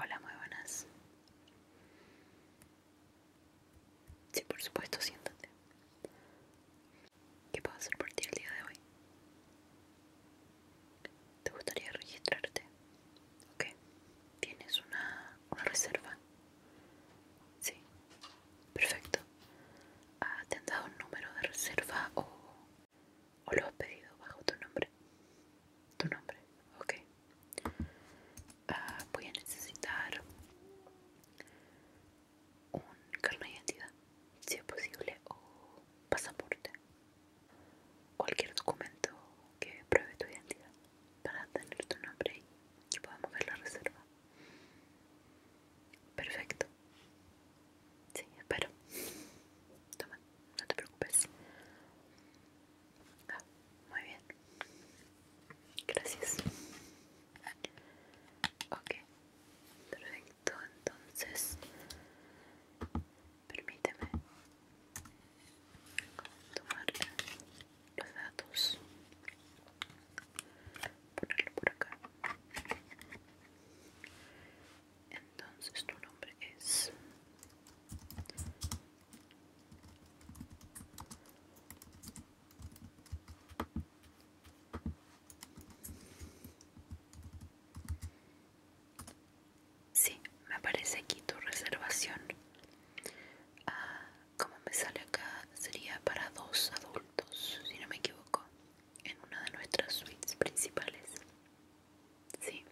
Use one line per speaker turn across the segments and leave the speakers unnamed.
Hola, muy buenas. Sí, por supuesto, siéntate. ¿Qué puedo hacer por ti el día de hoy? ¿Te gustaría registrarte? Ok. ¿Tienes una, reserva? Sí. Perfecto. ¿Ha ah, ¿Te un número de reserva o, o lo has pedido bajo tu nombre? Tu nombre, ok. Ah, voy a necesitar un carnet de identidad, si es posible, o pasaporte. Cualquier documento que pruebe tu identidad para tener tu nombre y podemos ver la reserva. Perfecto. Sí, espero. Toma, no te preocupes. Ah, muy bien. Gracias. Ok, perfecto. Entonces, permíteme tomar los datos, ponerlo por acá. Entonces, tu nombre es. Sí, me aparece aquí tu reservación. Ah, como me sale acá, sería para dos adultos, si no me equivoco, en una de nuestras suites principales. Sí,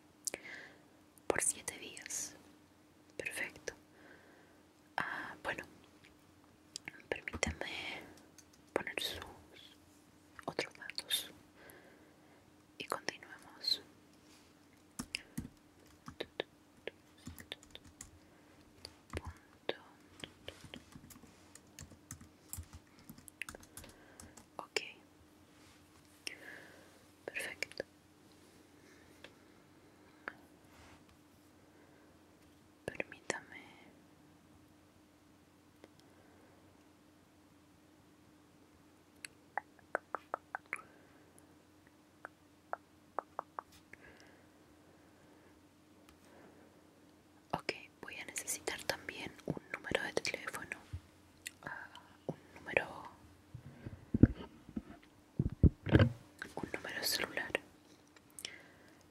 por siete días. Perfecto ah, bueno permítame poner sus otros datos y continuemos ok perfecto Permítame ok voy a necesitar también un número de teléfono ah, un número un número celular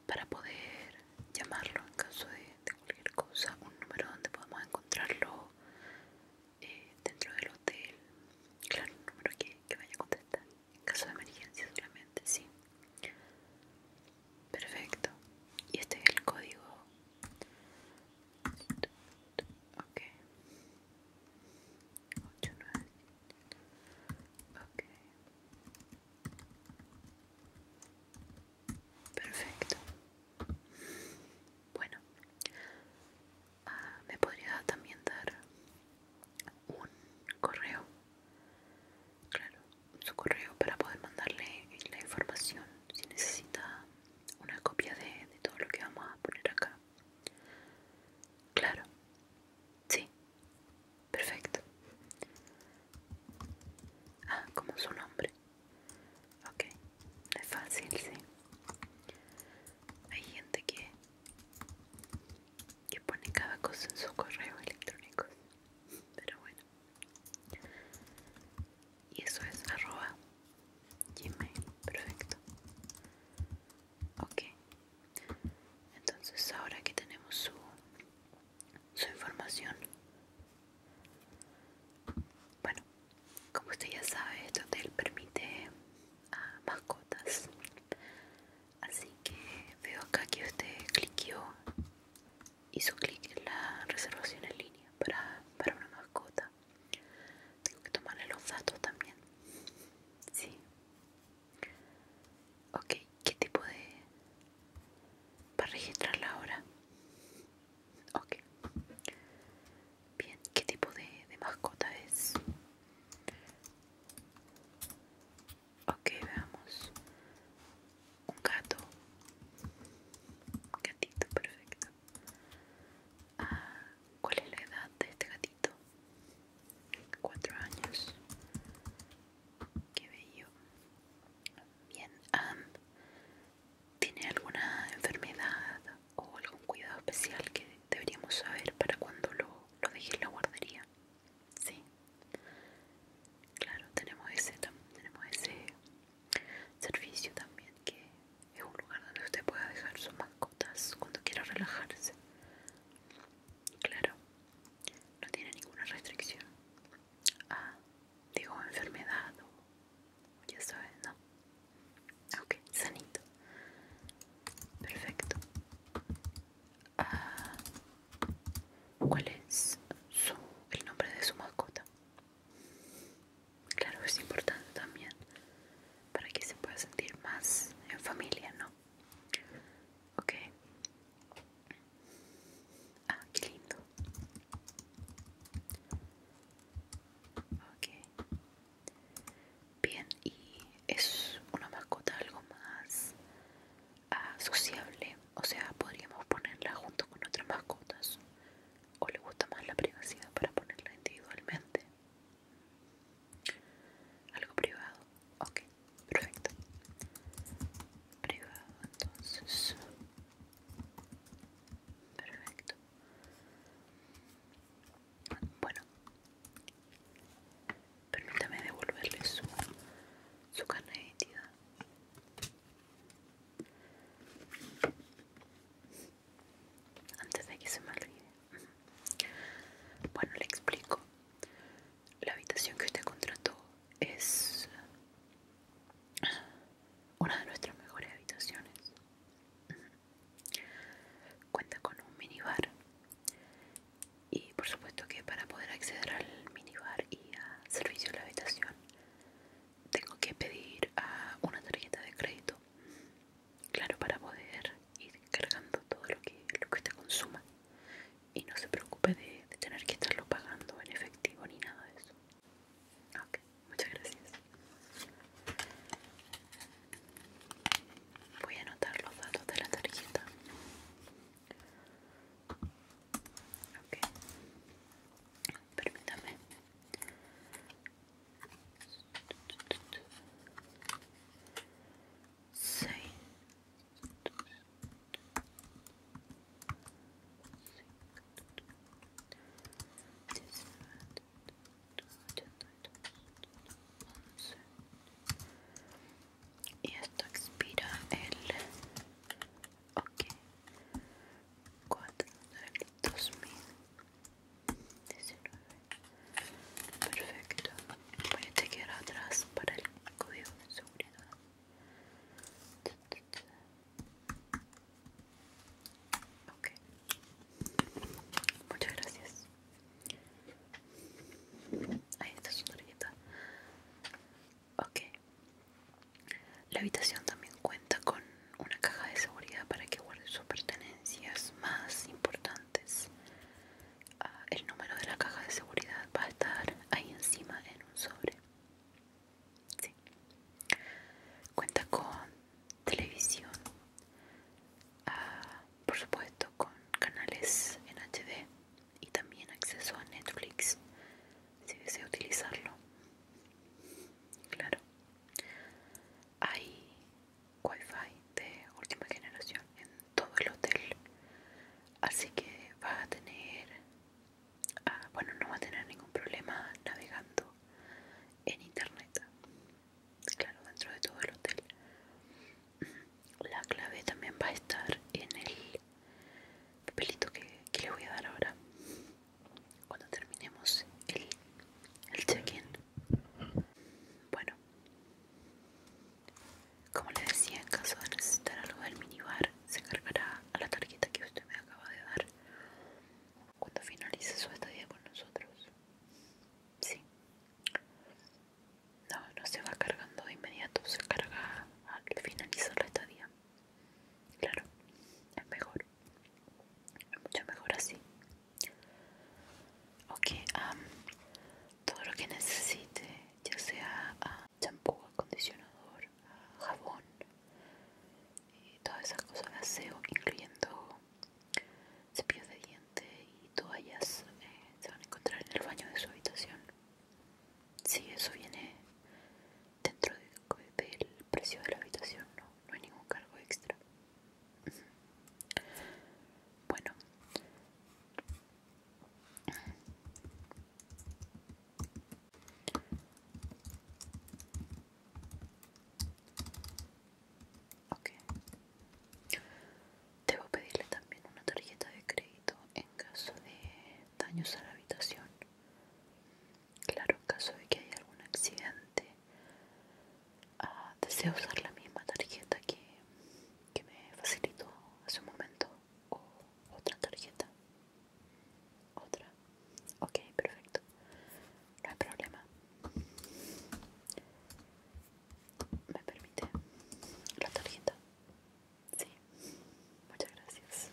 para poder llamarlo en caso de, cualquier cosa, un número donde podemos encontrarlo eh, dentro del hotel, claro, un número que, vaya a contestar en caso de emergencia solamente, sí. Perfecto. Y este es el código. 8, 9, ok perfecto bueno ah, me podría también dar un correo claro su correo para poder mandarle la información si necesita una copia de todo lo que vamos a poner acá claro sí Perfecto. Ah, como su nombre. Ok, es fácil, sí. Hay gente que, que pone cada cosa en su correo electrónico. Pero bueno. Y eso es arroba gmail. Perfecto ok entonces ahora que tenemos su, información bueno como usted ya sabe este hotel permite mascotas así que veo acá que usted cliqueó hizo clic en la reservación en línea para, para una mascota tengo que tomarle los datos también sí Ok, ¿qué tipo de...? Para registrarla ahora. Ok. Bien, ¿qué tipo de, mascota es? Ok, veamos. Un gato. Un gatito, perfecto. Ah, ¿Cuál es la edad de este gatito? Cuatro años. Qué bello. Bien, ¿tiene alguna enfermedad o algún cuidado especial que deberíamos saber para cuando lo, lo deje en la guardería? Sí. Claro, tenemos ese, tenemos ese servicio también que es un lugar donde usted pueda dejar sus mascotas cuando quiera relajarse. Claro no tiene ninguna restricción ah, digo enfermedad o ya sabes no ok sanito perfecto ah, cuál es el nombre de su mascota claro es importante también para que se pueda sentir más en familia no ok Ah, qué lindo. Ok. Bien, y es una mascota algo más ah, sociable. O sea, podríamos ponerla junto con otras mascotas. ¿O le gusta más la privacidad para ponerla individualmente? Algo privado ok perfecto privado entonces perfecto bueno permítame devolverle su su carne de identidad antes de que se me olvide bueno le explico la habitación que usted contrató es una de nuestras mejores habitaciones. Cuenta con un minibar y por supuesto que para poder acceder al minibar y al servicio de la habitación tengo que pedir una tarjeta de crédito, claro, para poder ir cargando todo lo que, lo que usted consuma y no se preocupe de, tener que estarlo pagando en efectivo ni nada de eso. Ok, muchas gracias. Voy a anotar los datos de la tarjeta. Ok, permítame. Sí y esto expira el ok 4 del 2019 perfecto voy a chequear atrás para el código de seguridad Ok. Muchas gracias. Ahí está su tarjeta. Ok. La habitación también cuenta con una caja de seguridad para que guarde sus pertenencias más importantes. Ah, el número de la caja de seguridad va a estar ahí encima en un sobre. Cuenta con televisión, ah, por supuesto con canales en HD y también acceso a Netflix si desea utilizarlo. Claro, hay wifi de última generación en todo el hotel así que vas a tener ah, bueno no va a tener ningún problema navegando en internet claro dentro de todo el hotel la clave también va a estar en el papelito que, le voy a dar ahora cuando terminemos el, el check-in bueno como le decía, en caso de necesitar algo del minibar, se cargará a la tarjeta que usted me acaba de dar cuando finalice su estadía con nosotros. Sí. No, no se va cargando de inmediato, se carga al finalizar la estadía. Claro, es mejor. mucho mejor así. Ok, todo lo que necesite ya sea a champú, acondicionador, jabón y todas esas cosas de aseo, incluyendo cepillos de dientes y toallas, eh, se van a encontrar en el baño de su habitación. Si sí, eso viene dentro del precio de la habitación, no, no hay ningún cargo extra. Bueno, Ok. Debo pedirle también una tarjeta de crédito en caso de daños a la habitación. Claro, en caso de que haya algún accidente, ah, deseo usar la misma tarjeta que me facilitó hace un momento otra tarjeta. Otra. Ok, perfecto. No hay problema. ¿Me permite la tarjeta? Sí. Muchas gracias.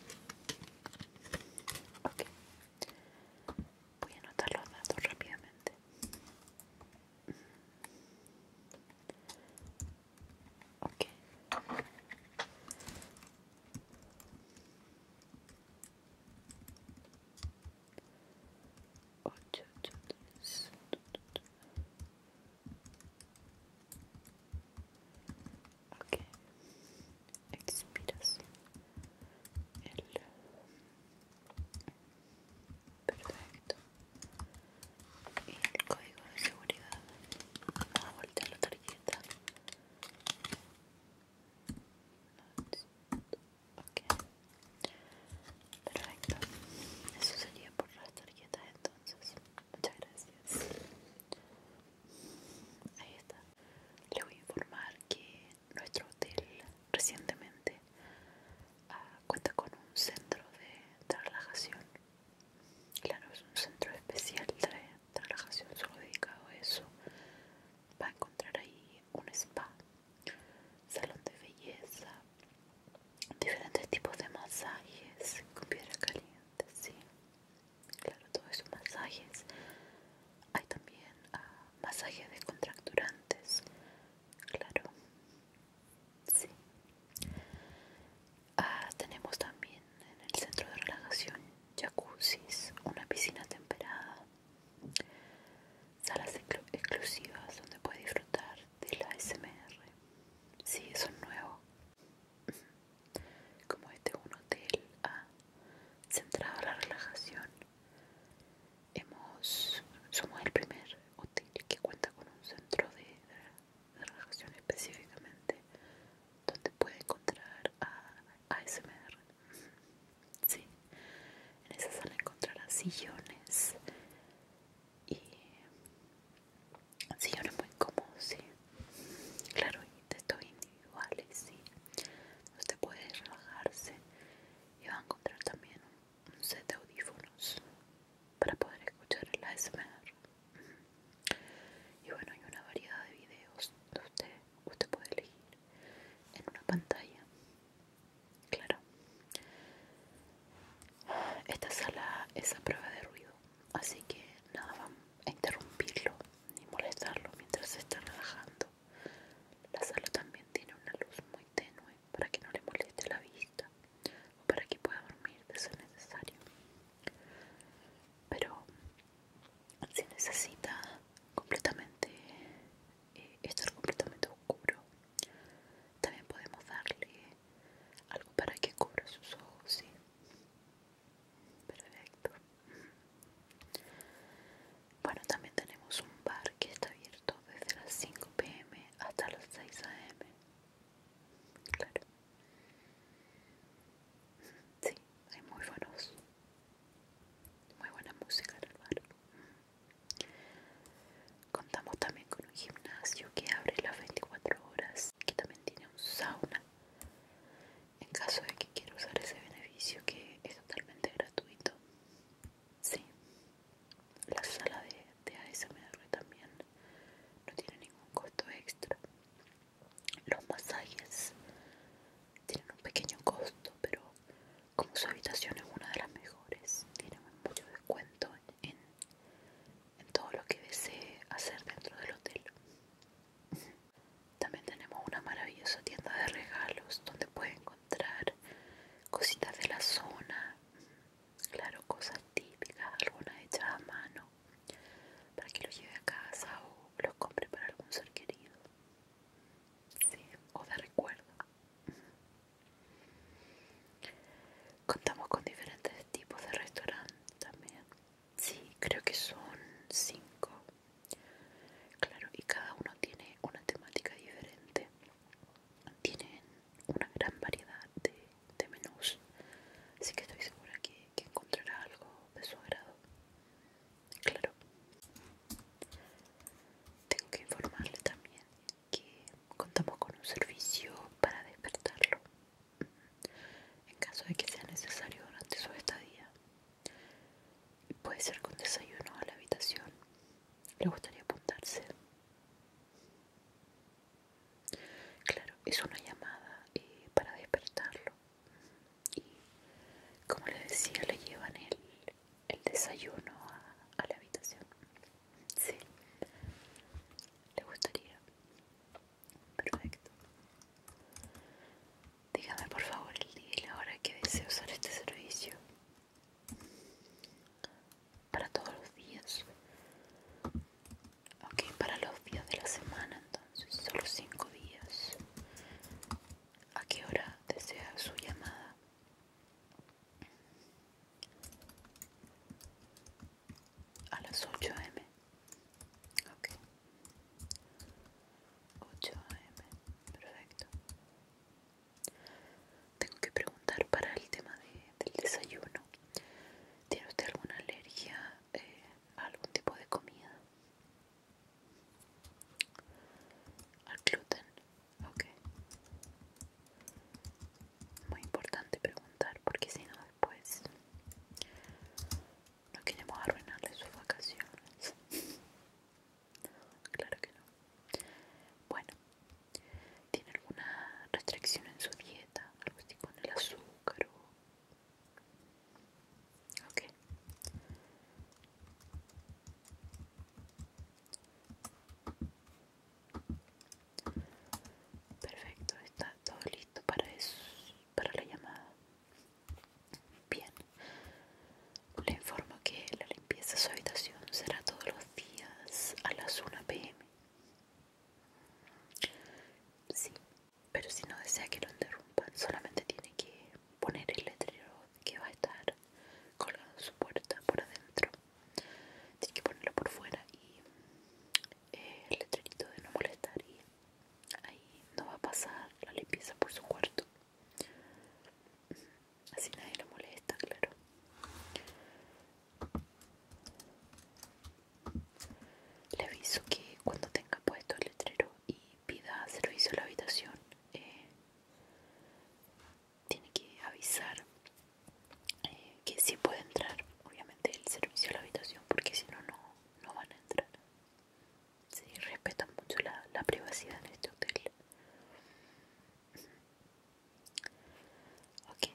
Ok. Voy a anotar los datos rápidamente. Okay. expiras el perfecto y el código de seguridad. Vamos a voltear la tarjeta. Perfecto. Eso sería por las tarjetas entonces. Muchas gracias. Ahí está. Les voy a informar que nuestro hotel recientemente ah, cuenta con un centro de relajación Claro, es un centro especial de relajación solo dedicado a eso. Va a encontrar ahí un spa, salón de belleza, diferentes tipos de masajes con piedra caliente, sí. Claro, todos esos masajes. Hay también ah, masajes de contracturantes, claro, sí. Ah, tenemos también en el centro de relajación jacuzzis, una piscina temperada, salas exclusivas donde puedes disfrutar de la SMR. Sí, eso es nuevo. Como este es un hotel ah, centrado en la relajación, hemos, somos el primer hotel que cuenta con un centro de de relajación específicamente donde puede encontrar a ASMR. Sí, en esa sala encontrará sillones y sillones muy cómodos, sí. Claro, y textos individuales, sí. Usted puede relajarse y va a encontrar también un set de audífonos para poder escuchar el ASMR. Y bueno, hay una variedad de videos de usted, usted puede elegir en una pantalla. Claro. Esta sala es a prueba de ruido, así que nada va a interrumpirlo ni molestarlo mientras se está relajando. La sala también tiene una luz muy tenue para que no le moleste la vista o para que pueda dormir de ser necesario pero si necesita completamente eh, esto estar completamente oscuro también podemos darle algo para que cubra sus ojos ¿sí? perfecto bueno también tenemos un bar que está abierto desde las 5 pm hasta las 6 am Claro. Sí, hay muy buenos. Muy buena música en el Contamos también con un gimnasio que abre las 24 horas, que también tiene un sauna. En caso de que quiera usar ese beneficio que es totalmente gratuito. Sí. La sala de, de ASMR también no tiene ningún costo extra. Los masajes tienen un pequeño costo, pero como su habitación es una de las mejores, tienen mucho descuento en, todo lo que desee hacer dentro del hotel. También tenemos una maravillosa tienda de regalos donde puede encontrar cositas de la zona, claro, cosas típicas, algunas hechas a mano, para que los lleve a casa o los compre para algún ser querido ¿sí? o de recuerdo. Contamos con diferentes tipos de restaurantes también. Sí, creo que son cinco. Claro, y cada uno tiene una temática diferente. Tienen una gran variedad de de menús así que estoy segura que, que encontrará algo de su agrado claro tengo que informarle también que contamos con un servicio para despertarlo en caso de que sea necesario durante su estadía puede ser con desayuno a la habitación le gustaría apuntarse Claro, es una llamada eh, para despertarlo. Y como le decía, le llevan el, el desayuno a, la habitación. Sí, le gustaría. Perfecto. Dígame por favor el día y la hora que desea usar este servicio. Para todos los días. Ok, para los días de la semana entonces, solo cinco días. ¿A qué hora desea su llamada? A las 8 am. Ok. 8 am, perfecto. Tengo que preguntar para el tema del desayuno. ¿Tiene usted alguna alergia eh, algún tipo de comida al gluten ok muy importante preguntar porque si no después no queremos arruinarle sus vacaciones claro que no bueno tiene alguna restricción en su dieta algo así con el azúcar Perfecto, está todo listo para eso, para la llamada. Bien. Le informo que la limpieza de su habitación será todos los días a las 1 pm. Sí, pero si no desea que lo interrumpan, solamente tiene que poner el letrero que va a estar colgado su puerta por adentro. Tiene que ponerlo por fuera y eh, el letrerito de no molestar y ahí no va a pasar la limpieza por su cuarto. Así nadie lo molesta, claro. Le aviso que cuando tenga puesto el letrero y pida servicio a la habitación, eh, tiene que avisar eh, que si puede entrar, obviamente, el servicio a la habitación, porque si no, no van a entrar. Sí, respetan mucho la, la privacidad en este hotel. Ok,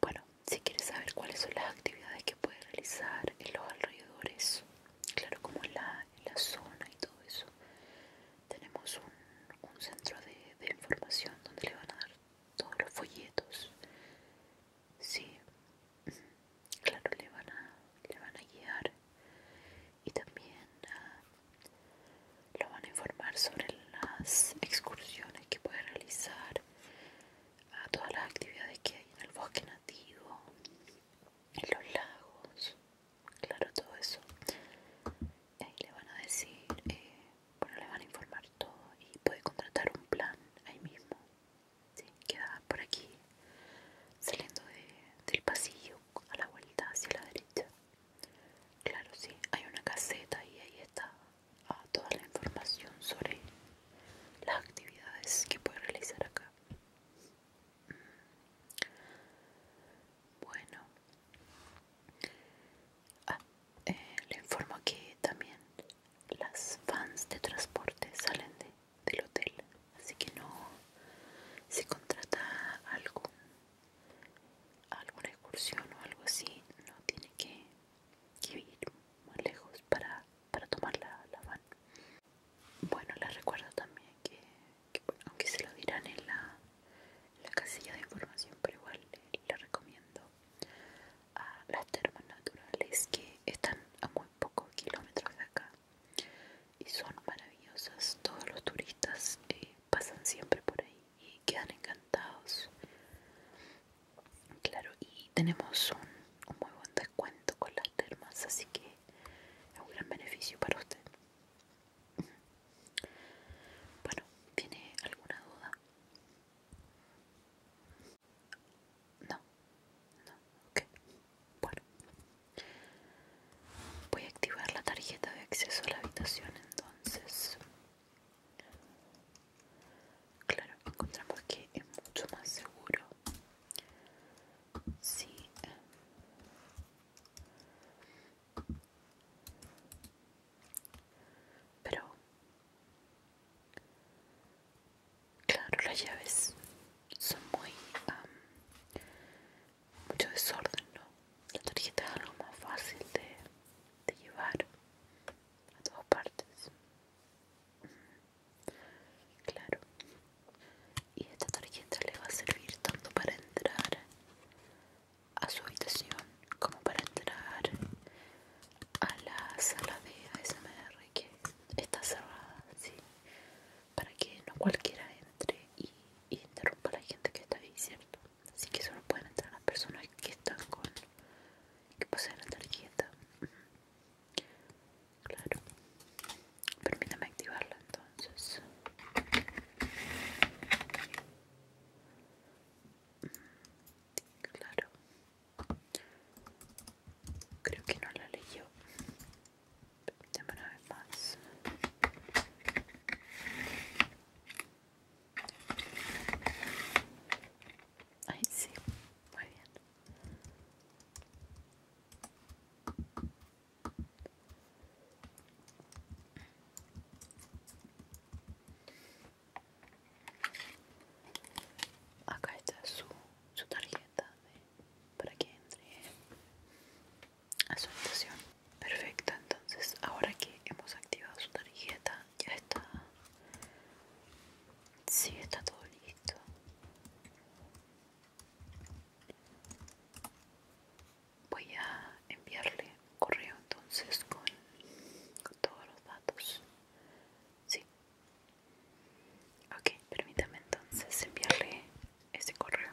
bueno, si quieres saber cuáles son las actividades que puedes realizar en los alrededores, claro, como la, zona y todo eso, tenemos un, centro de, información donde le van a dar todos los folletos. Sí, claro, le van a, le van a guiar y también ah, lo van a informar sobre las excursiones que puede realizar a todas las actividades que hay en el bosque nativo, en los lagos, claro, todo eso. ahí le van a decir, eh, bueno, le van a informar todo y puede contratar un plan ahí mismo. ¿sí? Queda por aquí, saliendo del pasillo a la vuelta hacia la derecha. Claro, sí, hay una caseta y ahí está ah, toda la información sobre las actividades que puede realizar acá. Bueno, ah, eh, le informo que también las fans de transporte salen de, del hotel, así que no se contrata algo alguna excursión o algo así, no tiene que, ir más lejos para para tomar la, van. Bueno, les recuerdo también que, aunque se lo dirán en la, casilla de información, pero igual les, recomiendo a las termas naturales que están a muy pocos kilómetros de acá y son maravillosas. Todos los turistas eh, pasan siempre por ahí y quedan encantados. Claro, y tenemos un, un muy buen cuento con las termas, así que es un gran beneficio para usted. Bueno, ¿tiene alguna duda? No, no, ok. Bueno, voy a activar la tarjeta de acceso a la habitación entonces. Claro, encontramos que es mucho más seguro Sí. Pero... Claro, las llaves son muy... mucho desorden, ¿no? La tarjeta es algo más fácil de, llevar a todas partes. Claro. Y esta tarjeta le va a servir tanto para entrar a su habitación como para entrar a la sala de ASMR que está cerrada, ¿sí? Para que no cualquiera entre y, interrumpa a la gente que está ahí, ¿cierto? Así que solo pueden entrar las personas que están con... que poseen la tarjeta. Claro. Permítame activarla entonces. Claro. Creo que no la leyó. Permítame una vez más. Ahí sí, muy bien. Acá está su, tarjeta para que entre a su habitación. Perfecto, entonces ahora que hemos activado su tarjeta, ya está. Sí, está todo listo. Voy a enviarle un correo entonces con, todos los datos. Sí. Ok, permítame entonces enviarle ese correo.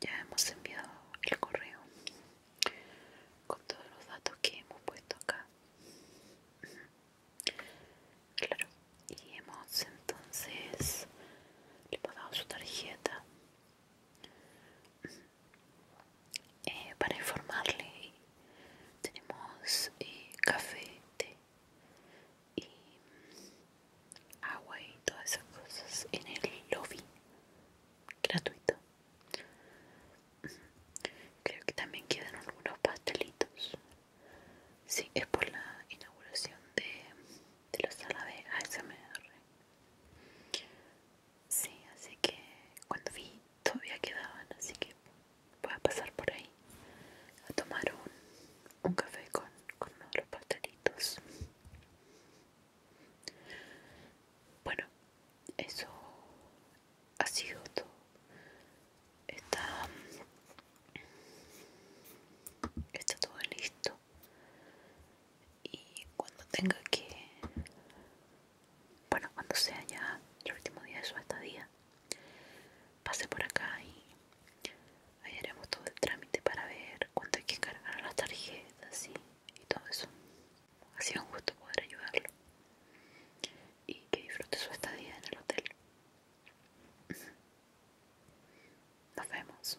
Ya hemos enviado el correo con todos los datos que hemos puesto acá. Claro, y hemos entonces le pasado su tarjeta eh, para informarle. Tenemos eh, café, té y mm, agua y todas esas cosas en el lobby gratuito mm, creo que también quedan algunos pastelitos sí es por la inauguración de, de la sala de ASMR sí así que cuando vi todavía quedaban así que voy a pasar por ahí a tomar un, un café con, los pastelitos. Bueno, eso ha sido todo. Está, está todo listo. Y cuando tenga que, bueno, cuando sea ya el último día de su estadía, Pase por acá y ahí haremos todo el trámite para ver cuánto hay que cargar las tarjetas y, y todo eso. Ha sido un gusto poder ayudarlo y que disfrute su estadía en el hotel. Nos vemos.